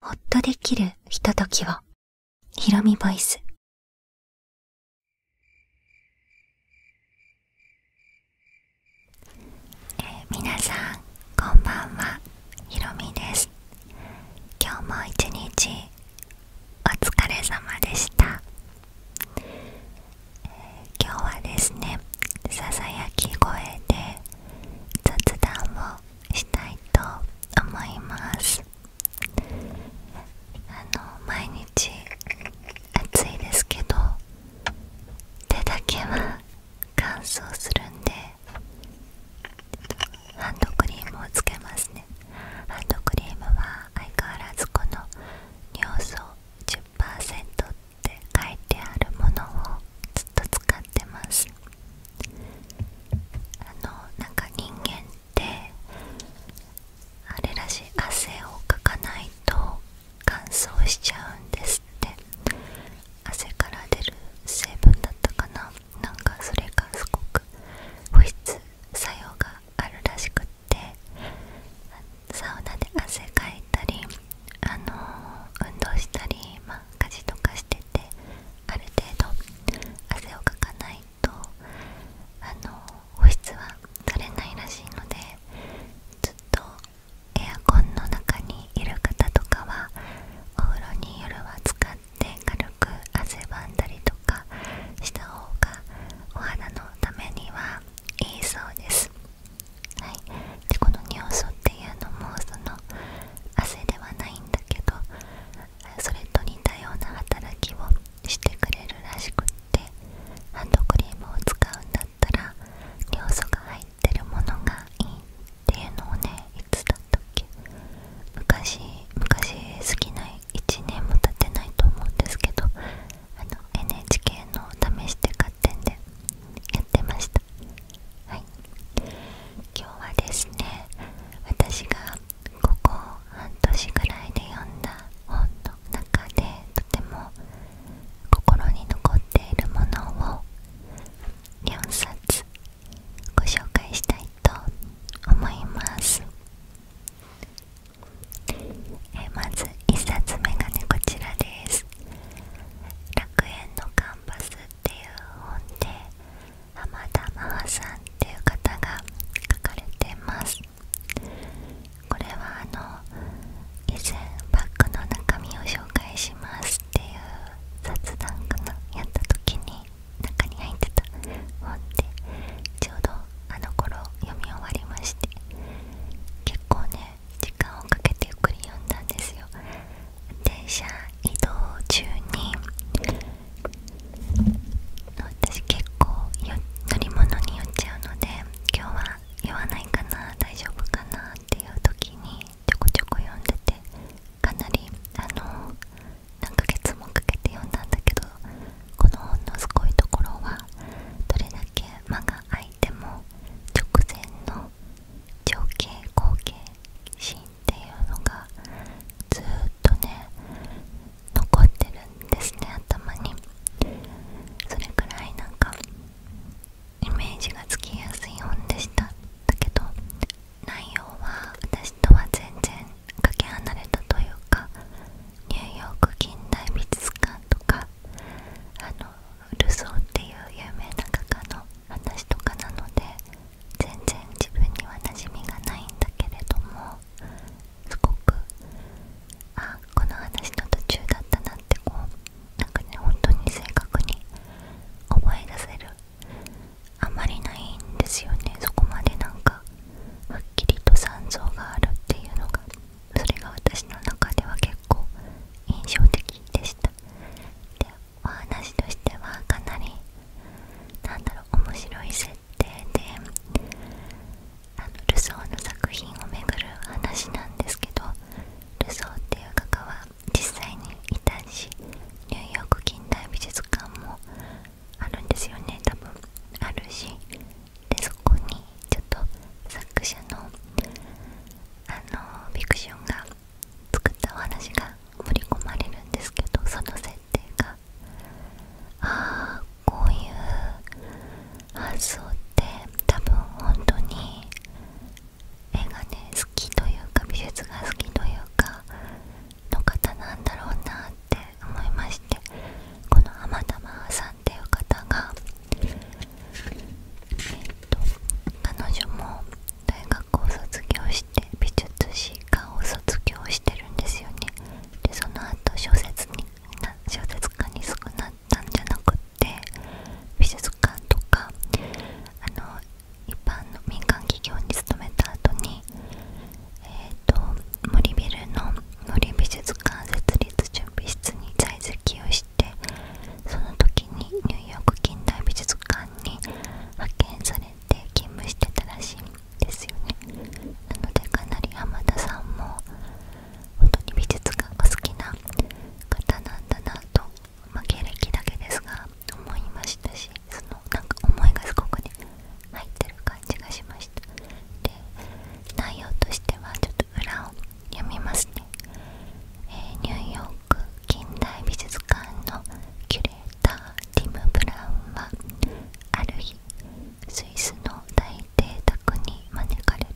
ほっとできるひとときを。ひろみボイス。えー、皆さん、こんばんは。ひろみです。今日も一日、お疲れ様でした。えー、今日はですね、ささやき声で雑談をしたいと思いますあの毎日暑いですけど手だけは乾燥するんでハンドクリームをつけますねハンドクリームは相変わらずこの尿素10%って書いてあるものをずっと使ってますあのなんか人間ってあれらしい汗をかかないと乾燥しちゃうんですって汗から出る成分だったかななんかそれがすごく保湿作用があるらしくってサウナで汗かいたりあの運動したりま家事とかしててある程度汗をかかないとあの保湿はされないらしいのでずっとエアコンの中にいる方とかはお風呂に夜は使って軽く汗ばんだりとかした方がお肌のためにはいいそうです。はい、でこの尿素っていうのもその汗ではないんだけどそれと似たような働きをしてくれるらしくってハンドクリームを使うんだったら尿素が入ってるものがいいっていうのをねいつだったっけ昔昔過ぎな1年も経ってないと思うんですけどあの NHK の試して勝手にやってました。はい今日はですね私がここ半年ぐらいで読んだ本の中でとても心に残っているものを4冊ご紹介したいと思いますえまず1冊目がねこちらです「楽園のカンパス」っていう本で浜田真帆さんっていう方が書かれてますこれはあの以前バッグの中身を紹介しますっていう雑談かなやった時に中に入ってた本でちょうどあの頃読み終わりまして結構ね時間をかけてゆっくり読んだんですよ電車移動中に私結構乗り物に酔っちゃうので今日は酔わないかな大丈夫かなっていう時にちょこちょこ読んでてかなりあの何ヶ月もかけて読んだんだけどこの本のすごいところはどれだけ間が空いても直前の情景後景シっていうのがずっとね残ってるんですね頭にそれくらいなんかイメージがつきやすい本でしただけど内容は私とは全然かけ離れたというかニューヨーク近代美術館とかあのルソーっていう有名な画家の話とかなので全然自分には馴染みがないんだけれどもすごくあこの話の途中だったなってこうなんかね本当に正確に思い出せるあまりないんですよねそこまでなんかはっきりと残像があるっていうのがそれが私の中では結構印象的でしたお話としてはかなりなんだろう面白い設定であのルソーの作品をめぐる話なんですけどルソーっていう画家は実際にいたしニューヨーク近代美術館もあるんですよね多分あるしでそこにちょっと作者のあのフィクションが作ったお話が盛り込まれるんですけどその設定がああこういう発想って多分本当に絵がね好きというか美術が好きというかの方なんだろうなって思いましてこの浜玉さんっていう方がえっと彼女も大学を卒業して美術史科を卒業してるんですよねでその後小説にな小説家に少なったんじゃなくって美術館とかあの一般の民間企業に勤めた後にえっ、と森ビルの森美術館設立準備室に在籍をしてその時にニューヨーク近代美術館に派遣されで勤務してたらしいんですよねなのでかなり浜田さんも本当に美術館が好きな方なんだなと、ま経歴だけですが思いましたしそのなんか思いがすごくね入ってる感じがしましたで内容としてはちょっと裏を読みますね、え近代美術館のキュレーターティム・ブラウンはある日スイスの大邸宅に招かれる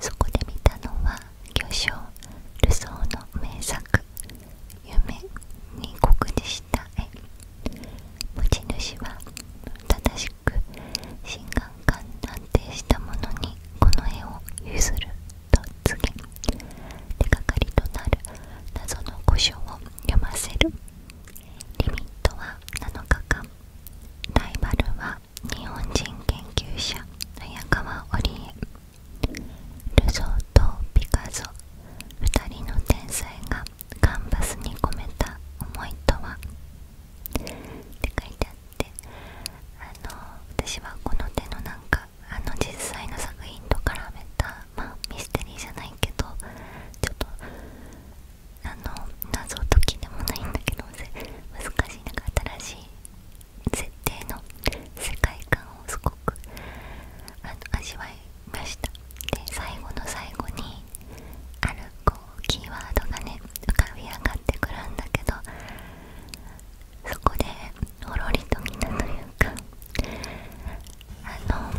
そこで見たのは巨匠ルソーの名作「夢」に酷似した絵持ち主は正しく新感覚安定したものにこの絵を譲る手がかりとなる謎の古書を読ませるリミットは7日間ライバルは日本人研究者早川織江ルソーとピカソ2人の天才がカンバスに込めた思いとはって書いてあってあの私はこの手のなかあの実際の作品と絡めたまミステリーじゃないけどちょっとあの謎解きでもないんだけど難しいなんか新しい設定の世界観をすごく味わいましたで最後の最後にあるこうキーワードがね浮かび上がってくるんだけどそこでほろりとみんなというかあの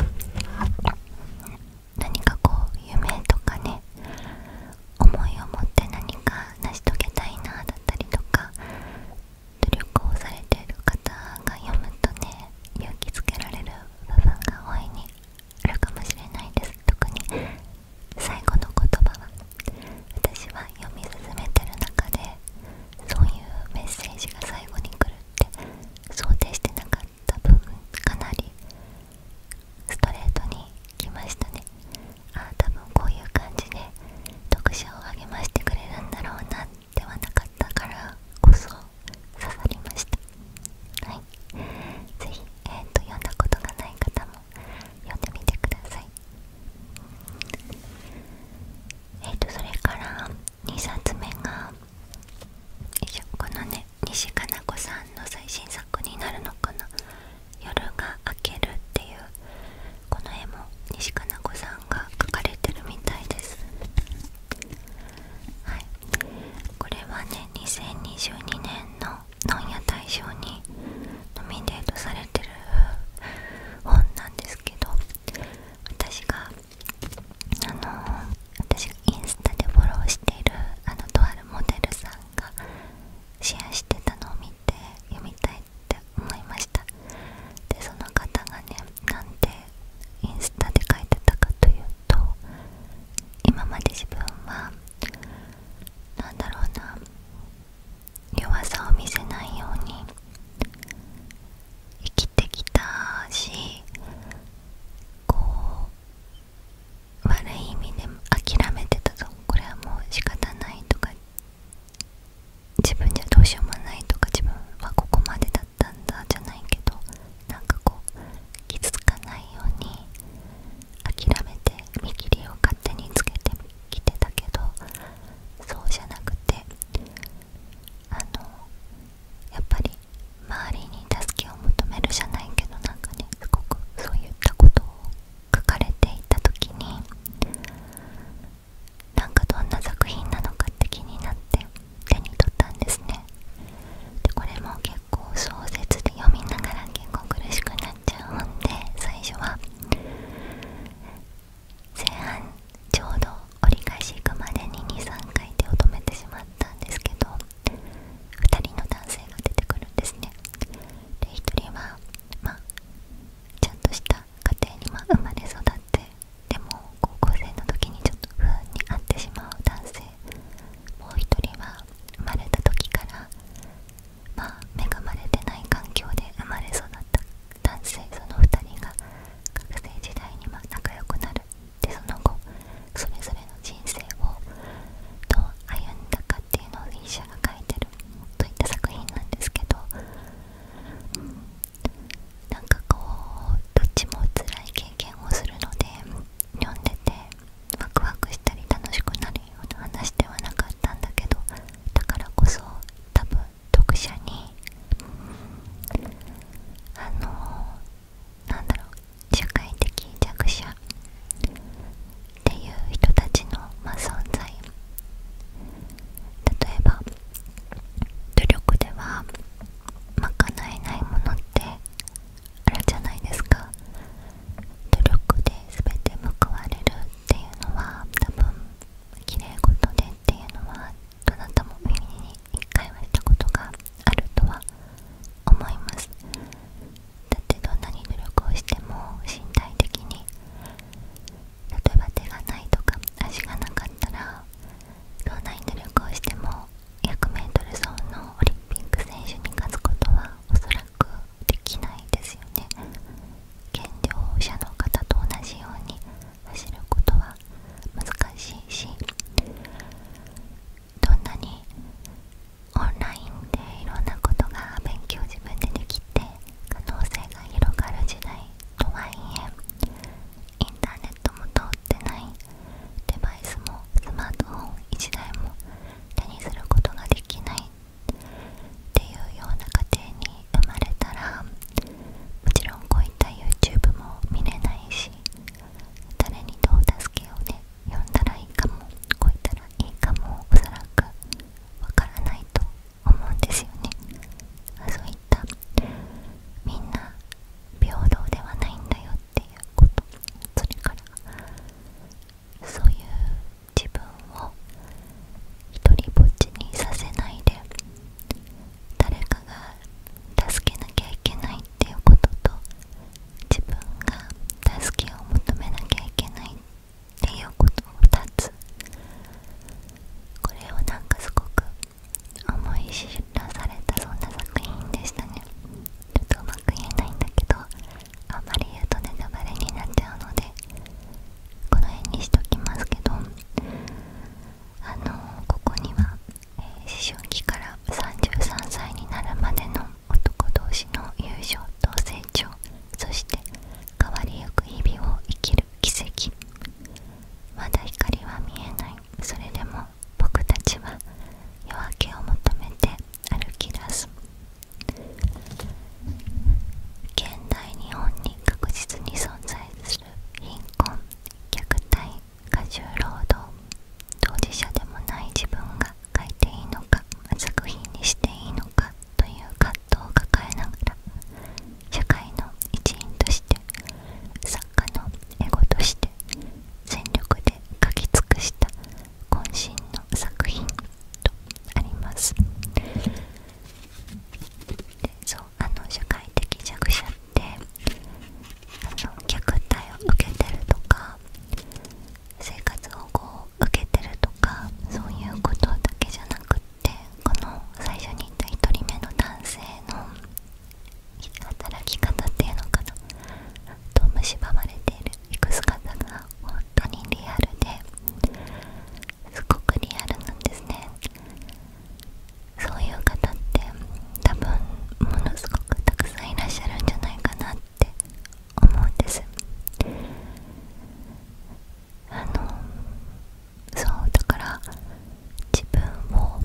何かこう夢とかね思いを持って何か成し遂げたいなだったりとか努力をされている方が読むとね勇気づけられる部分が大いにあるかもしれないです特に最後の言葉は私は読み進めてる中でそういうメッセージが最後に来るって想定してなかった分かなりストレートに来ましたねああ多分こういう感じで読者を励ましてくれるんだろうなではなかったからこそ刺さりましたはい是非、えー、読んだことがない方も読んでみてくださいえっとそれから2冊目がこのね西加奈子さんの最新作になるのかな「夜が明ける」っていうこの絵も西加奈子さんが描かれてるみたいですはいこれはね2022年の本屋大賞にノミネートされてる本なんですけど私があの私がインスタでフォローしているあのとあるモデルさんがシェアしてたのを見て読みたいって思いましたでその方がねなんでインスタで書いてたかというと今まで自分は何だろうな弱さを見せないように生きてきたしこう悪い意味で諦めてたぞ。これはもう仕方ないとか自分じゃどうしようもないとか自分はここまでだったんだじゃないけどなんかこう傷つかないように諦めて見切りを勝手につけてきてたけどそうじゃなくてあのやっぱり周りに助けを求めるじゃないけどなんかねすごくそういったことを書かれていた時になんかどんな作品なのかって気になって手に取ったんですねでこれも結構小説で読みながら結構苦しくなっちゃうんで最初は前半ちょうど折り返し行くまでに23回手を止めてしまったんですけど2人の男性が出てくるんですねで1人はまあちゃんとした家庭にま生まれ育ってでも高校生の時にちょっと不運に遭ってしまう男性もう1人は生まれた時からまあ恵まれてない環境で生まれ育った男性その2人が学生時代にま仲良くなるでその後それぞれの人生をどう歩んだかっていうのをフィが書いてるといった作品なんですけど、うなんかこうどっちも辛い経験をするので読んでてワクワクしたり楽しくなるような話ではなかったんだけどだからこそ多分読者にあのなんだろう社会的弱者っていう人たちの、ま存在例えば努力では賄えないものってあるじゃないですか努力で全て報われるっていうのは多分きれい事でっていうのはどなたも耳に一回はしたことがあるとは思いますだってどんなに努力をしても身体的に例えば手がないとか足がなかったらどんなに努力をしても 100m 走のオリンピック選手に勝つことはおそらくできないですよね。減量者の方と同じように走ることは難しいしどんなにオンラインでいろんなことが勉強自分でできて可能性が広がる時代とはいえインターネットも通ってないデバイスもスマートフォン1台も手にすることができないっていうような家庭に生まれたらもちろんこういった YouTube も見れないし誰にどう助けようね呼んだらいいかもこういったらいいかもおそらくわからないと思うんですよねそういったみんな平等ではないんだよっていうことそれからそういう自分を一人ぼっちにさせないで誰かが助けなきゃいけないっていうことと自分が助けを求めなきゃいけないっていうことの2つこれをなんかすごく思い知らされたそんな作品でしたねちとうまく言えないんだけどあまり言うとね。タバレになっちゃうのでこの辺にしときますけどあのここには、え思春期から33歳になるまでの男同士の友情と成長そして変わりゆく日々を生きる奇跡まだ光は見えないそれでも僕たちは夜明けを求めて歩き出す現代日本に確実に存在貧困虐待過重労働当事者でもない自分が書いていいのか作品にしていいのかという葛藤を抱えながら社会の一員として作家のエゴとして全力で描き尽くした渾身の作品とありますそうあの社会的弱者ってあの虐待を受けてるとか生活保護を受けてるとかそういうことだけじゃなくってこの最初に言った1人目の男性の働き方っていうのかなと蝕まれているいく姿が本当にリアルですごくリアルなんですね。そういう方って多分ものすごくたくさんいらっしゃるんじゃないかなって思うんですあのそうだから自分を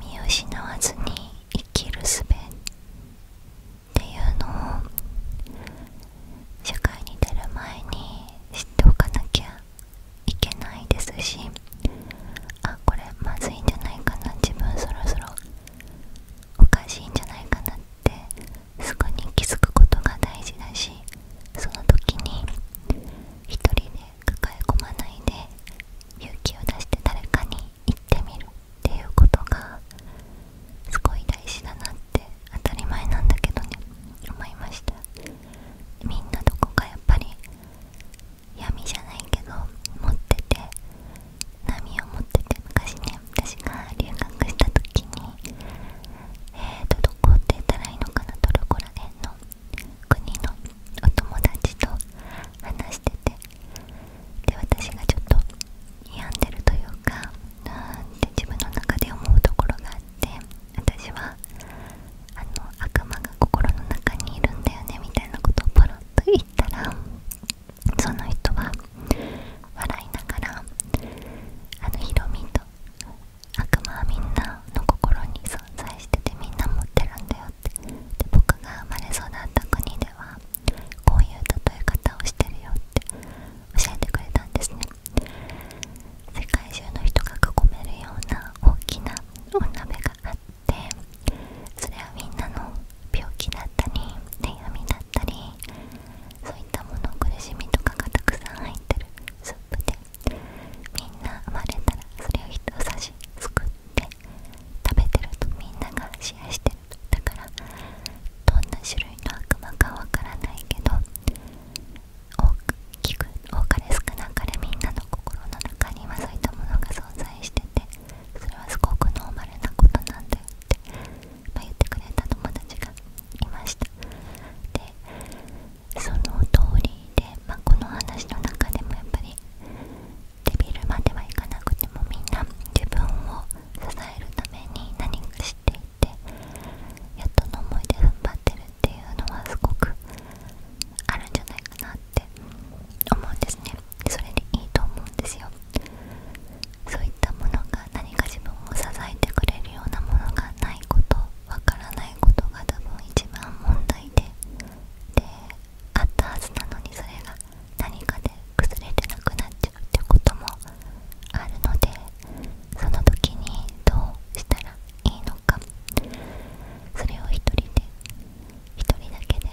見失わずに生きるすべっていうのを社会に出る前に知っておかなきゃいけないですしあこれまずいんじゃないかな自分そろそろおかしいんじゃないかなってすぐに気づくことが大事だしその時に一人で抱え込まないで勇気を出して誰かに行ってみるっていうことがすごい大事だなっっ当たり前なんだけどね思いましたみんなどこかやっぱり闇じゃないけど持ってて波を持ってて昔ね私が留学した時にえーとどこって言ったらいいのかなトルコらへんの国のお友達と話しててで私がちょっと病んでるというかなんて自分の中で思うところがあっっ私はあの悪魔が心の中にいるんだよねみたいなことをポロッと言ったらその人は笑いながらあのヒロミと悪魔はみんなの心に存在しててみんな持ってるんだよってで僕が生まれ育った国ではこういう例え方をしてるよって教えてくれたんですね世界中の人が囲めるような大きなお鍋があってそれはみんなの病気だったり悩みだったりそういったもの苦しみとかがたくさん入ってるスープでみんな生まれたらそれを人差しすくって食べてるとみんながシェアしてるだからどんな種類の悪魔かわからないけど大くく多かれ少なかれみんなの心の中にはそういったものが存在しててそれはすごくノーマルなことなんだよって、ま言ってくれた友達がいましたでその通りで、まこの話の中でもやっぱりデビルまではいかなくてもみんな自分を支えるために何かしててやっとの思いで踏ん張ってるっていうのはすごくあるんじゃないかなって思うんですねそれでいいと思うんですよそういったものが何か自分を支えてくれるようなものがないことわからないことが多分一番問題でであったはずなのにそれが何かで崩れてなくなっちゃうってこともあるのでその時にどうしたらいいのかそれを一人で一人だけで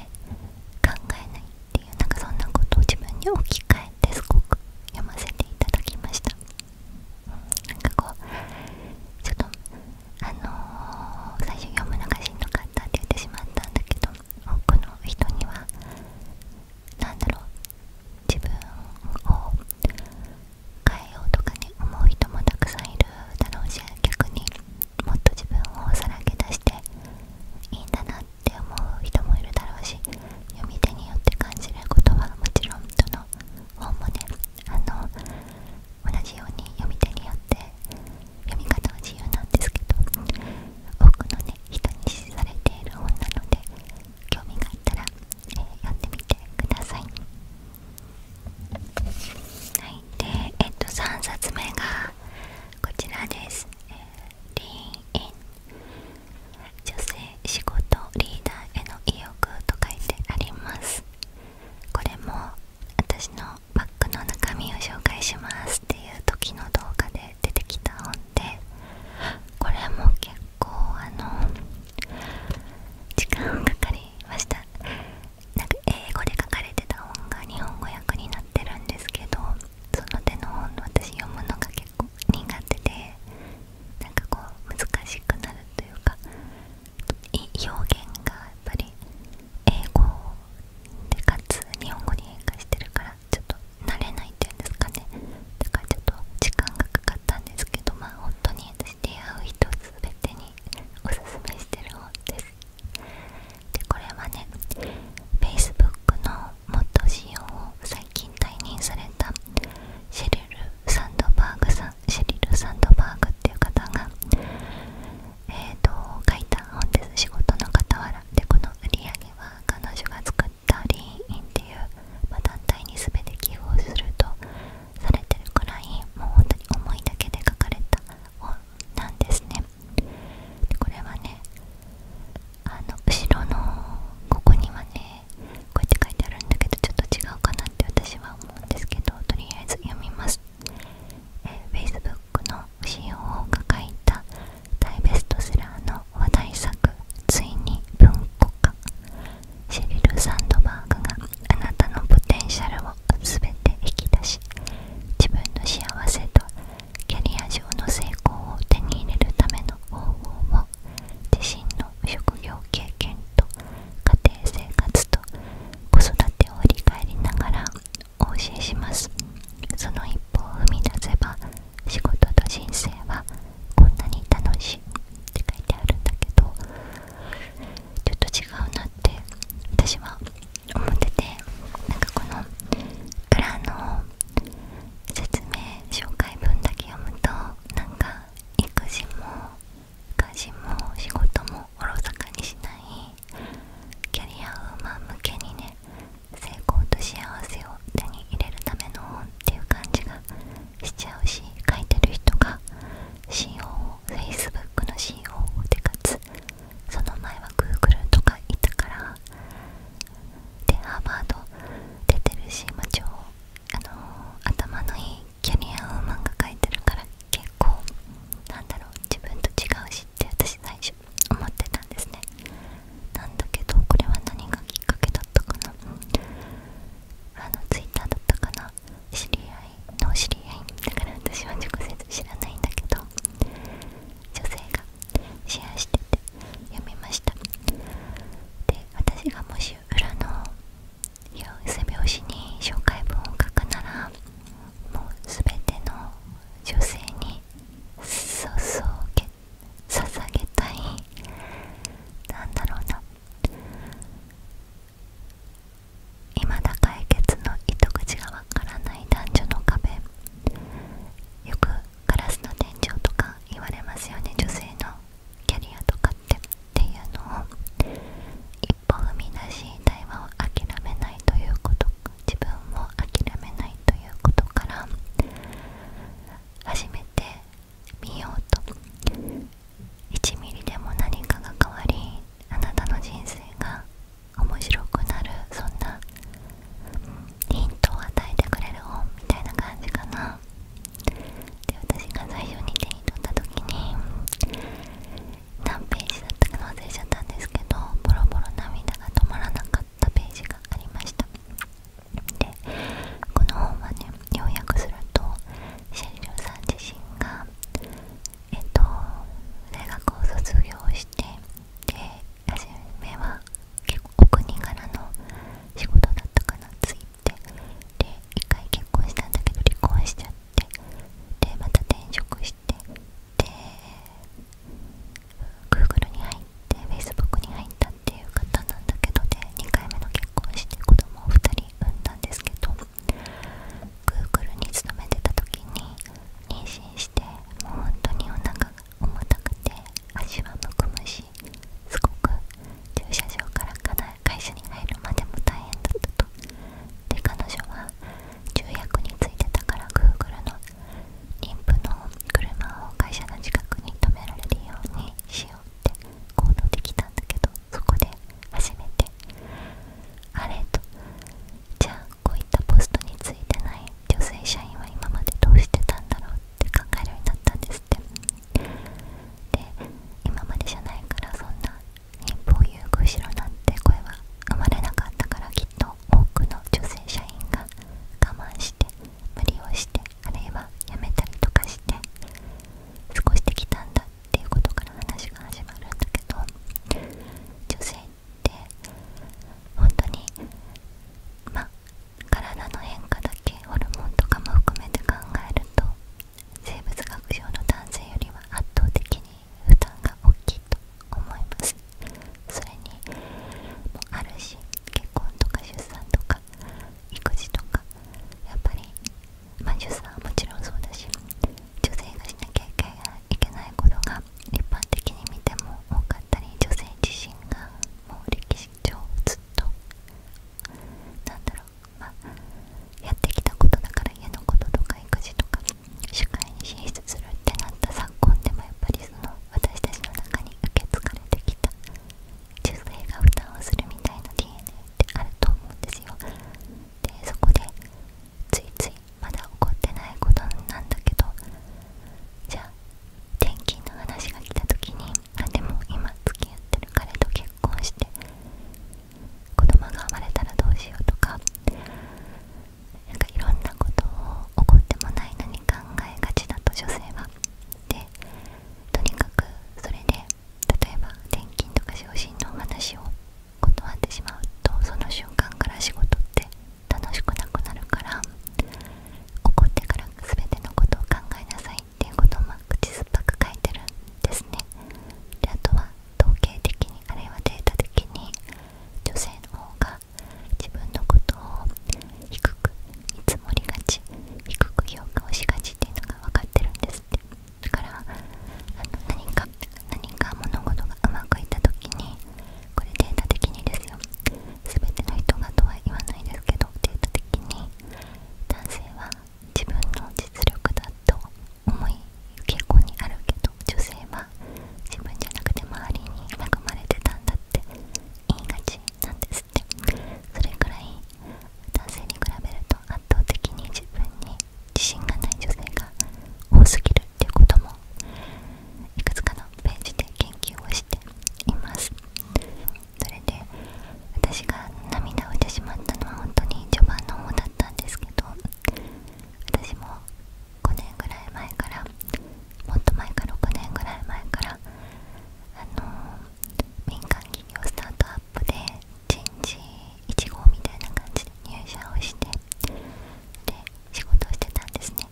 考えないっていうなんかそんなことを自分に置き換えてすごく読ませていただきました、うなんかこうちょっとあの最初読むのがしんどかったって言ってしまったんだけど多くの人には何だろう自分を変えようとかね思う人もたくさんいるだろうし逆にもっと自分をさらけ出していいんだなって思う人もいるだろうし読み手によって感じることはもちろんどの本もねあの同じように読み手によって読み方は自由なんですけど多くのね人に支持されている本なので興味があったら、えー、読んみてください。はい、で、えっと、3冊目がこちらです。女性、仕事、リーダーへの意欲と書いてあります。これも私のバッグの中身を紹介しますっていう時の動画で出てきたのでこれも結構あの時間かかりましたなんか英語で書かれてた本が日本語訳になってるんですけどその手の本私読むのが結構苦手でなんかこう難しくなるというか表現がやっぱり英語でかつ日本語に変化してるからちょっと慣れないっていうんですかねだからちょっと時間がかかったんですけどまあ本当にしてう人すべてにおすめしてる本ですでこれはね Facebook の元仕様を最近退任されたシェリル・サンドバーグさんシェリル・サンドバーグっていう方がえーと書いた本です仕事の傍らでこの売り上げは彼女が作ったリーンっていう、ま団体に全て寄付をするとされてるくらいもう本当に思いだけで書かれた本なんですねこれはねあの後ろのここにはねこうやって書いてあるんだけどちょっと違うかなって私は思うんですけどとりあえず読みます、Facebook の CEO が書いた大ベストセラーの話題作「ついに文庫化」シェリル・サンドバーグがあなたのポテンシャルを全て引き出し自分の幸せとキャリア上の成功を手に入れるための方法も自身の職業経験と家庭生活と子育てを振り返りながらお教えしますその一歩を踏み出せば仕事と人生はこんなに楽しいって書いてあるんだけどちょっと違うなって私は思っててなんかこの裏の説明紹介文だけ読むとなんか育児も家事も仕事もおろそかにしないキャリアウーマン向けにね成功と幸せを手に入れるための本っていう感じがしちゃうし書いてる人が CO を Facebook の CO でかつその前は Google とかいたからでハーバード出てるし、まあ、超、あの頭のいいキャリアウーマンが書いてるから結構なんだろう自分と違うしって私最初思ってたんですねなんだけどこれは何がきっかけだったかなあの twitter だったかな知り合いの知り合いだから私は直接知らないんだけど女性がシェアしてて読みましたで私がもし裏の背拍子に紹介文を書くならもう全ての女性に注げ捧げたいなんだろうな未だ解決の糸口がわからない男女の壁よくガラスの天井とか言われますよね女性のキャリアとかってっていうのを一歩踏み出し対話を諦めないということ自分も諦めないということから初めて見ようと1ミリでも何かが変わりあなたの人生が面白くなるそんなヒントを与えてくれる本みたいな感じかなで私が最初に手に取った時に何ページだったか忘れちゃったんですけどボロボロ涙が止まらなかったページがありましたでこの本はね要約するとシェリルさん自身が、えっと、大学を卒業してで初めは結構お国柄の仕事だったかなついてで一回結婚したんだけど離婚しちゃってでまた転職してで Google に入って Facebook に入ったっていう方なんだけどで2回目の結婚して子供を2人産んだんですけど Google に勤めてた時に妊娠してもう本当にお腹が重たくて足はむくむしすごく駐車場から会社に入るまでも大変だったとで彼女は重役についてたから Google の妊婦の車を会社の近くに止められるようにしよう行動できたんだけどそこで初めてあれとじゃあこういったポストについてない女性社員は今までどうしてたんだろうって考えるようになったんですってで今までじゃないからそんな一歩を言う後ろなんて声は生まれなかったからきっと多くの女性社員が我慢して無理をしてあるいはやめたりとかして少してきたんだっていうことから話が始まるんだけど女性って本当にまあ体の変化だけホルモンとかも含めて考えると生物学上の男性よりは圧倒的に負担が大きいと思いますそれにもあるし結婚とか出産とか育児とかやっぱり、まあ、さんはもちろんそうだし女性がしなきゃいけないことが一般的に見ても多かったり女性自身がもう歴史上ずっとなんだろう、まやってきたことだから家のこととか育児とか社会に進出するってなった昨今でもやっぱりその私たちの中に受け継がれてきた女性が負担をするみたいな DNA っあると思うんですよでそこでついついまだ起こってないことなんだけどじゃあ転勤の話が来た時にあでも今付き合ってる彼と結婚して子供が生まれたらどうしようとか何かいろんなことを起こってもないのに考えがちだと女性はでとにかくそれで例えば転勤とか昇進のお話を断ってしまうとその瞬間から仕事って楽しくなくなるから怒ってから全てのことを考えなさいっていうことも口酸っぱく書いてるんですねであとは統計的にあるいはデータ的に女性の方が自分のことを低く見積もりがち低く評価をしがちっていうのが分かってるんですってだからあの何か何か物事がうまくいった時にこれデータ的にですよ全ての人がとは言わないですけどデータ的に男性は自分の実力だと思い傾向にあるけど女性は自分じゃなくて周りに恵まれてたんだって言いがちなんですそれくらい男性に比べると圧倒的に自分に自信がない女性が多すぎるっていうこともいくつかのページで研究をしていますそれで私が涙をしてしまったのは本当に序盤の方だったんですけど私も5年ぐらい前からもっと前から6年ぐらい前からあの民間企業スタートアで人事1号みたいな感じで入社をしてで仕事をしてたんですね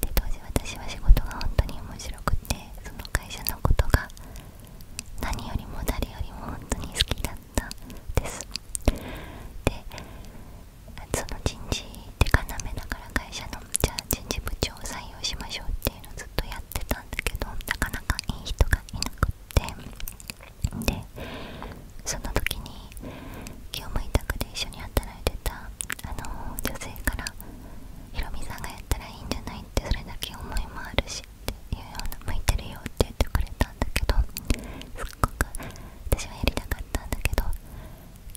で当時私は仕事が本当に面白くてその会社のことが何よりも誰よりも本当に好きだったんですでその人事って要だから会社のじゃあ人事部長を採用しましょうっていうのをずっとやっったんだけどなかなかいい人がいなくってでその時に気を向いた託で一緒に働いてたあの女性から「ひろみさんがやったらいいんじゃない?」ってそれだけ思いもあるしっていうような「向いてるよ」って言ってくれたんだけどすっごく私はやりたかったんだけど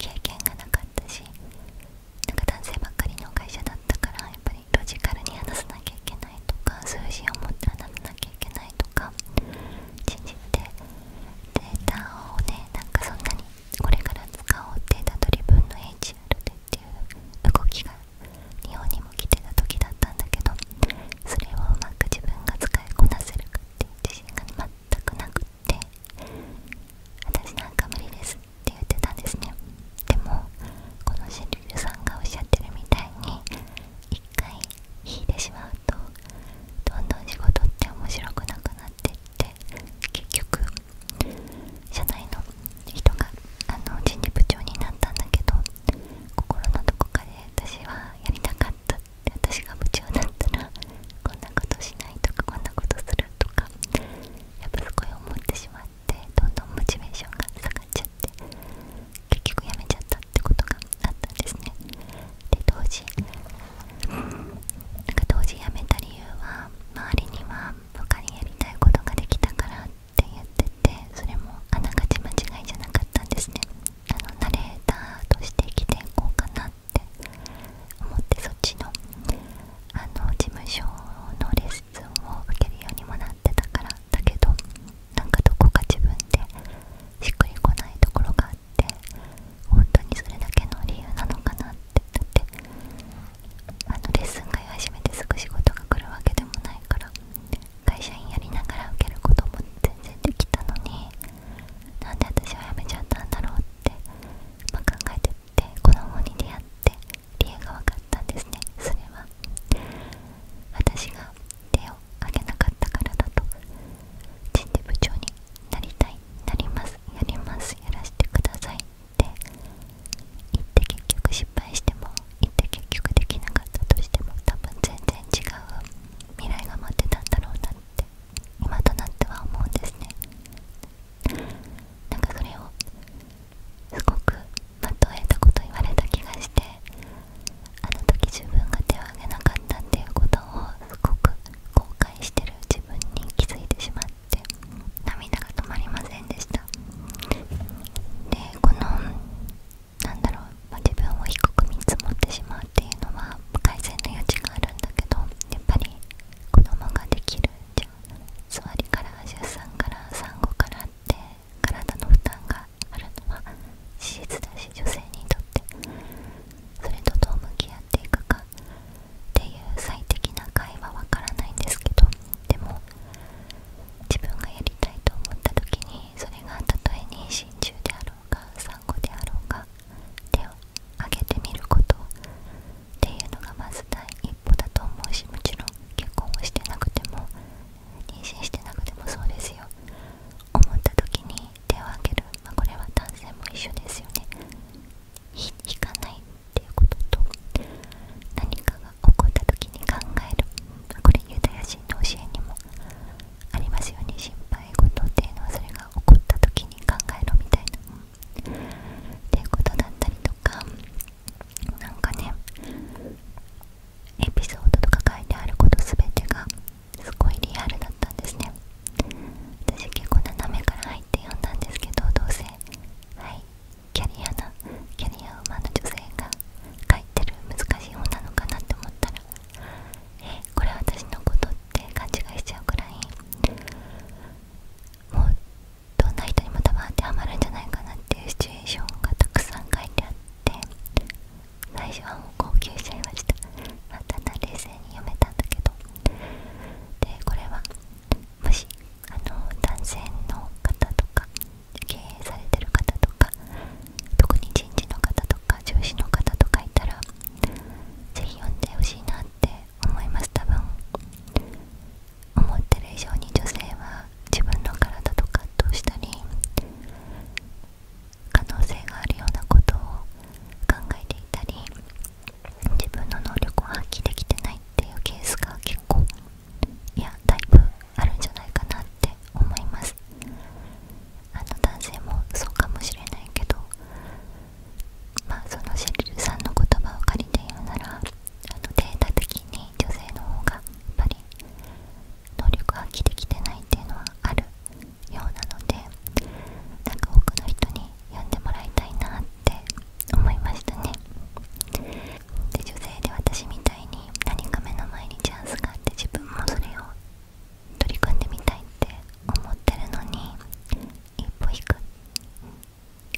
経験がなかったしなんか男性ばっかりの会社だったからやっぱりロジカルに話さなきゃいけないとか数字を持って話さなきゃいけないとか信じてデータをねなんかそんなにこれから使おうデータドリブンの HR でっていう動きが日本にも来てた時だったんだけどそれをうまく自分が使いこなせるかっていう自信が全くなくって私なんか無理ですって言ってたんですねでもこのシリルさんがおっしゃってるみたいに一回引いてしまうとどんどん仕事って面白くなくなってって結局社内の人があの人事部長になったんだけど心のどこかで私はやりたかったって私が部長なったらこんなことしないとかこんなことするとかやっぱすごい思ってしまって。っどんどんモチベーションが下がっちゃって結局辞めちゃったってことがあったんですねで当時なんか当時やめた理由は周りには他にやりたいことができたからって言っててそれもあながち間違いじゃなかったんですねあのナレーターとして生きていこうかなって思ってそっちのあの事務所の質問を受けるようにもなってたからだけどなんかどこか自分でしっくりこないところがあって本当にそれだけの理由なのかなってあのレッスン会始めてすぐ仕事が来るわけでもないから会社員やりながら受けることも全然できたのになんで私は辞めちゃったんだろうって、まあ、考えてって子供に出会って。理由が分かったんですねそれは私が手を挙げなかったからだと人事部長になりたいなりますやりますやらせてくださいって言って結局失敗しても言って結局できなかったとしても多分全然違う未来が待ってたんだろうなって今となっては思うんですねなんかそれをすごく的を得たこと言われた気がしてあの時自分が手を挙げなかったっていうことをすごく後悔してる自分に気づいてしまって涙が止まりませんでしたでこのなんだろう、自分を低く見積もってしまうっていうのは不改善の余地があるんだけどやっぱり子供ができるじゃん座りから出産から産後からっ体の負担があるのは事実だし女性にとってそれとどう向き合っていくかっていう最適な回はわからないんですけどでも自分がやりたいと思った時にそれがたとえ妊娠中であろうが産後であろうが手を挙げてみることっていうのがまず第一だと思うしもちろん結婚をしてなくても妊娠してなくてもそうですよ思った時に手を挙げる、まあ、これは男性も一緒ですよね引かないっていうことと何かが起こった時に考える、これユダヤ人の教えにもありますように心配事っていうのはそれが起こった時に考えろみたいな、うっていうことだったりとかなんかねエピソードとか書いてあること全てがすごいリアルだったんですね私結構斜めから入って読んだんですけどどうせはいキャリアなキャリアウーマンの女性が書いてる難しい本なのかなって思ったらえこれ私のことって勘違いしちゃうくらいもうどんな人にも多分当てはまるんじゃないかなっていうシチュエーションがたくさん書いてあって最初はもう号泣しちゃいましたまただ冷静に読めたんだけどでこれはもしあの男性の方とか経営されてる方とか特に人事の方とか上司の方とかいたらぜひ読んでほしいなって思います多分思ってる以上に女性は自分の体と葛藤したり可能性があるようなことを考えていたり自分の能力を発揮できてないっていうケースが結構いやタイプあるんじゃないかなって思いますあの男性もそうかもしれないけどまあそのシェリルさんの言葉を借りて言うならあのデータ的に女性の方がやっぱり能力発揮できてないっていうのはあるようなのでなんか多くの人に読んでもらいたいなって思いましたねで女性で私みたいに何か目の前にチャンスがあって自分もそれを取り組んでみたいって思ってるのに一歩引く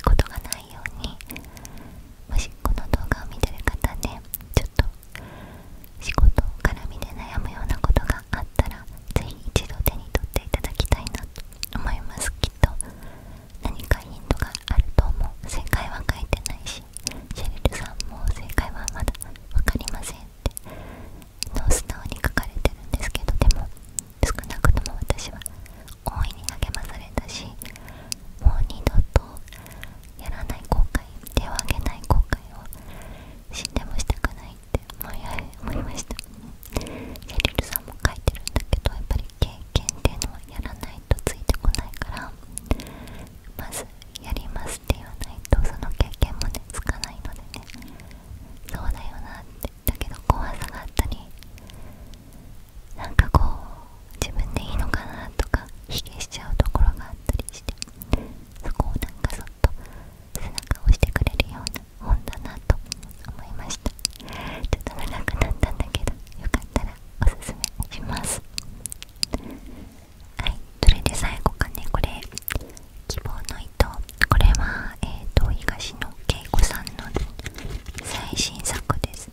ことがないようにもしこの動画を見てる方ね、ちょっと仕事絡みで悩むようなことがあったら是非一度手に取っていただきたいなと思いますきっと何かヒントがあると思う正解は書いてないしシェリルさんも正解はまだ分かりませんってもう素直に書かれてるんですけどでも少なくとも私は大いに励まされたしもう二度とやらない後悔手を挙げない後悔を死んでもしたくないって思いましたシェリルさんも書いてるんだけどやっぱり経験っていうのはやらないとついてこないからまずやりますって言わないとその経験もねつかないのでねそうだよなってだけど怖さがあったりなんかこう自分でいいのかなとか卑下しちゃうところがあったりしてそこをなんかそっと背中を押してくれるような本だなと思いましたちょっと長くなったんだけどよかったらおすすめしますはいそれで最後かねこれ希望の糸これはえっ、と東野恵子さんの最新作です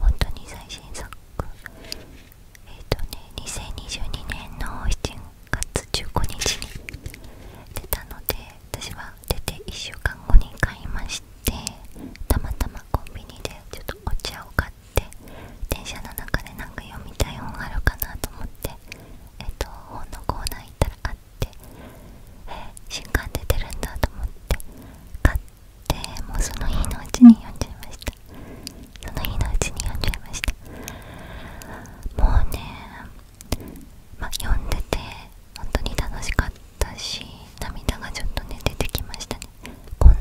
本当に最新作えっ、とね2022年の7月15日に出たので私は出て1週間後に買いましてたまたまコンビニでちょっとお茶を買って電車の中でなんか読みたい本あるかなと思ってえっ、と本のコーナー行ったらあってえー、新刊で出るんだと思って買っでもうその日のうちに読んじゃいましたその日のうちに読んじゃいましたもうねま読んでて本当に楽しかったし涙がちょっとね出てきましたねこの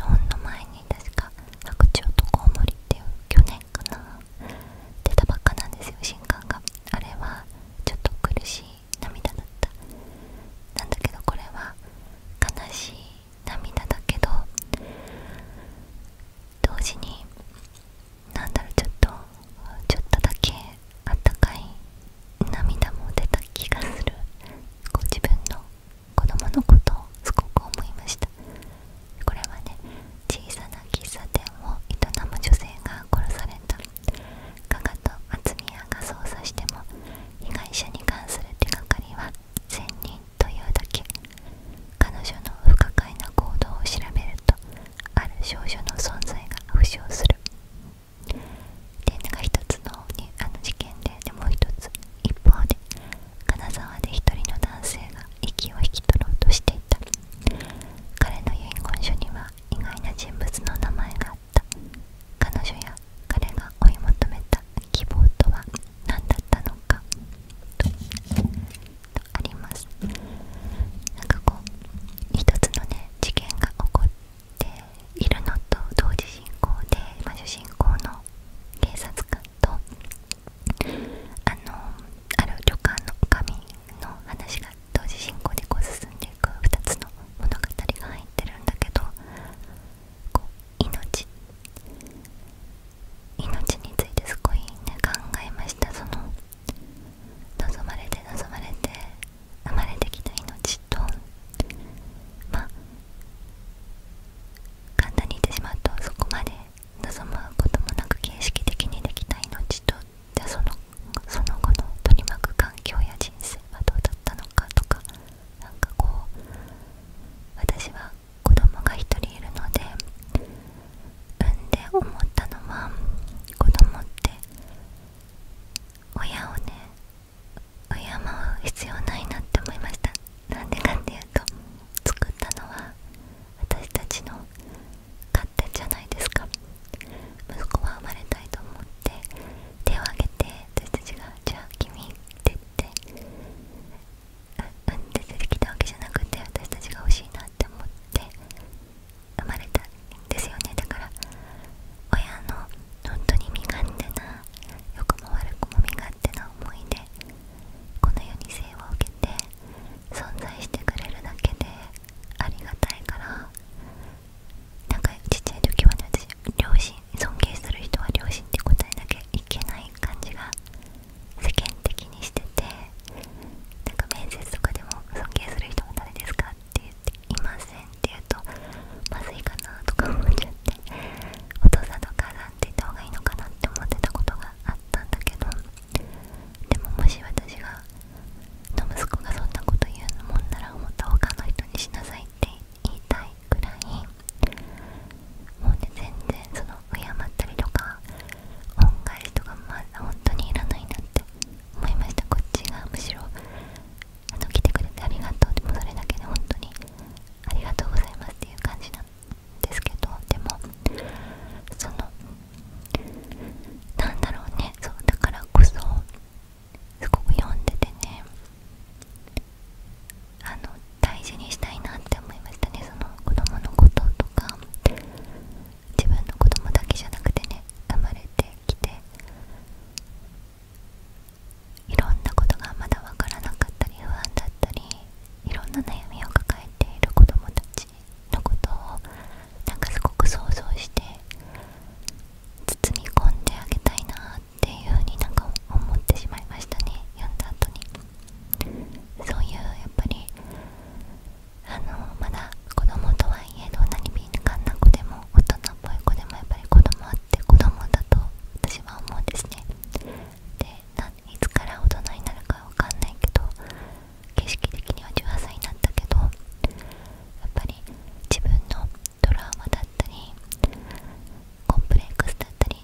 本の前に確か「白鳥とコウモリ」っていう去年かな出たばっかなんですよ新刊があれはちょっと苦しい涙だったなんだけどこれは悲しい涙だけど同時になんだろうちょっとちょっとだけあったかい涙も出た気がするこ自分の子供のことをすごく思いましたこれはね小さな喫茶店を営む女性が殺された加賀と松宮が捜査しても被害者に関する手がかりは1人というだけ彼女の不可解な行動を調べるとある少女の存在が浮上する点が一つのにあの事件ででもう一つ一方で金沢で一人の男性が息を引き取ろうとしていた彼の遺言書には意外な人物の名前が彼女や彼が追い求めた希望とは何だったのかとありますなんかこう一つのね事件が起こっているのと同時進行で、ま主人公の警察官とあのある旅館の女将の話が同時進行でこう進んで2つの物語が入ってるんだけど命についてすごいね考えましたその望まれて望まれて生まれてきた命とまあ簡単に言ってしまうとそこまで望むこともなく形式的にできた命とじゃあそのその後の取り巻く環境や人生はどうだったのかとかなんかこう私は子供が1人いるので産んで思ったのは子供って親をね敬う必要ないなって思いましたなんでかっていうと作ったのは私たちの勝手じゃないですか息子は生まれたいと思っっ手を挙げて私たちが「じゃあ君」って言って産んで出てきたわけじゃなくて私たちが欲しいなって思って生まれたんですよねだから親の本当に身勝手な良くも悪くも身勝手な思いでこの世に生を受けて存在してくれるだけでありがたいからなんかちっちゃい時はね私両親尊敬する人は両親って答えなきゃいけない感じが世間的にしててなんか面接とかでも尊敬する人は誰ですかって言っていませんって言うとまずいかなとか思っちゃってお父さんとお母さんって言った方がいいのかなって思ってたことがあったんだけどでももし私が息子がそんなこと言うもんならもっと他の人にしなさいって言っ言いくらいもうね全然その敬ったりとか恩返しとかまあ本当にいらないなって思いましたこっちがむしろあの来てくれてありがとうでもそれだけで本当にありがとうございますっていう感じなんですけどでもそのなんだろうねそうだからこそすごく読んでてねあの大事にしたいなって思いましたねその子供のこととか自分の子供だけじゃなくてね生まれてきていろんなことがまだわからなかったり不安だったりいろんな悩みを抱えている子供たちのことをなんかすごく想像して包み込んであげたいなっっていう風になんか思ってしまいましたね読んだ後にそういうやっぱりあのまだ子供とはいえどんなに敏感な子でも大人っぽい子でもやっぱり子供って子供だと私は思うんですねでいつから大人になるかわかんないけど景色的には18歳になったけどやっぱり自分のトラマだコンプレックスだったりっ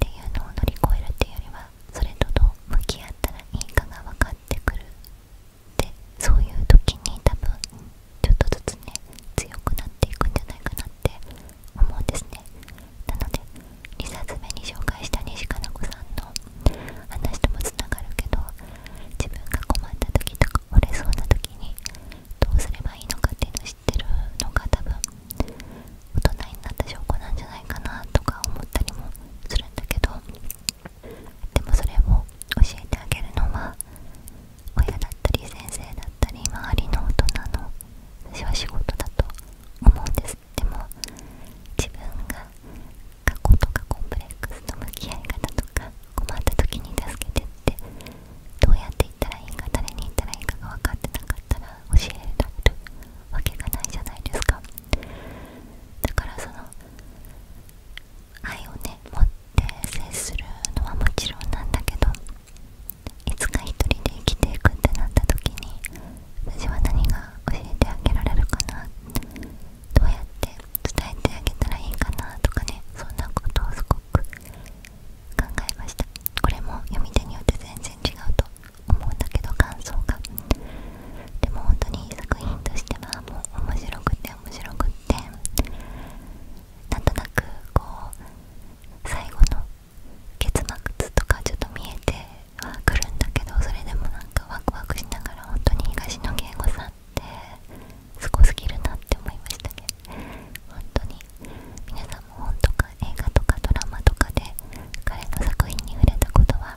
ていうのを乗り越えるっていうよりはそれとどう向き合ったらいいかが分かってくるって。そういう時に多分ちょっとずつね強くなっていくんじゃないかなって思うんですねなので2冊目に紹介した西加奈子さんの話ともつながるけど自分が困った時とか折れそうな時にどうすればいいのかっていうの知ってるのが多分大人になった証拠なんじゃないかなとか思ったりもするんだけどでもそれを教えてあげるのは親だったり先生だったり周りの大人の私は仕事だと思うんですでも自分が過去とかコンプレックスの向き合い方困った時に助けてってどうやって言ったらいいか誰に言ったらいいかが分かってなかったら教えられるわけがないじゃないですかだからその愛をね持って接するのはもちろんなんだけどいつか一人で生きていくってなった時に私は何が教えてあげられるかなどうやって伝えてあげたらいいかなとかねそんなことをすごく考えましたこれも読み手によって全然違うと思うんだけど感想がでも本当に作品としてはもう面白くて面白くってなんとなくこう最後の結末とかちょっと見えてはくるんだけどそれでもなんかワクワクしながら本当に東野圭吾さんっすごすぎるなって思いましたね本当に皆さんも本とか映画とかドラマとかで彼の作品に触れたことは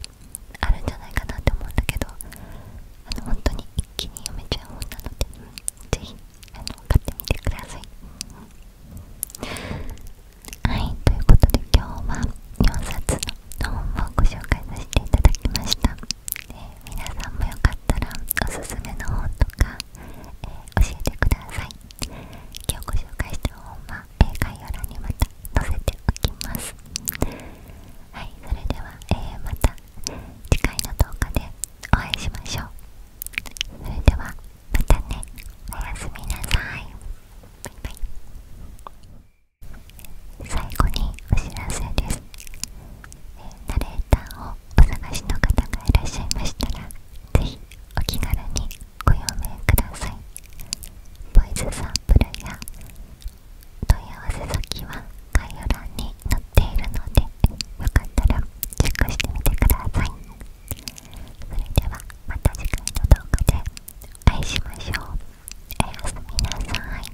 あるんじゃないかなって思うんだけどあの本当に一気に読めちゃう本なので、うん、ぜひあの買ってみてください、はいということで今日は4冊の本をご紹介させていただきましたえ皆さんもよかったらおすすめの本とか、え教えてください今日ご紹介した本は、え概要欄にまた載せておきますはいそれでは、えまた次回の動画でお会いしましょうそれではまたねおやすみなさいバイバイ最後にお知らせですナレーターをお探しの方がいらっしゃいましたらぜひお気軽にご用命くださいボイスサンプルや問い合わせ先は概要欄に載っているのでよかったらチェックしてみてくださいそれではまた次回の動画でお会いしましょうおやすみなさい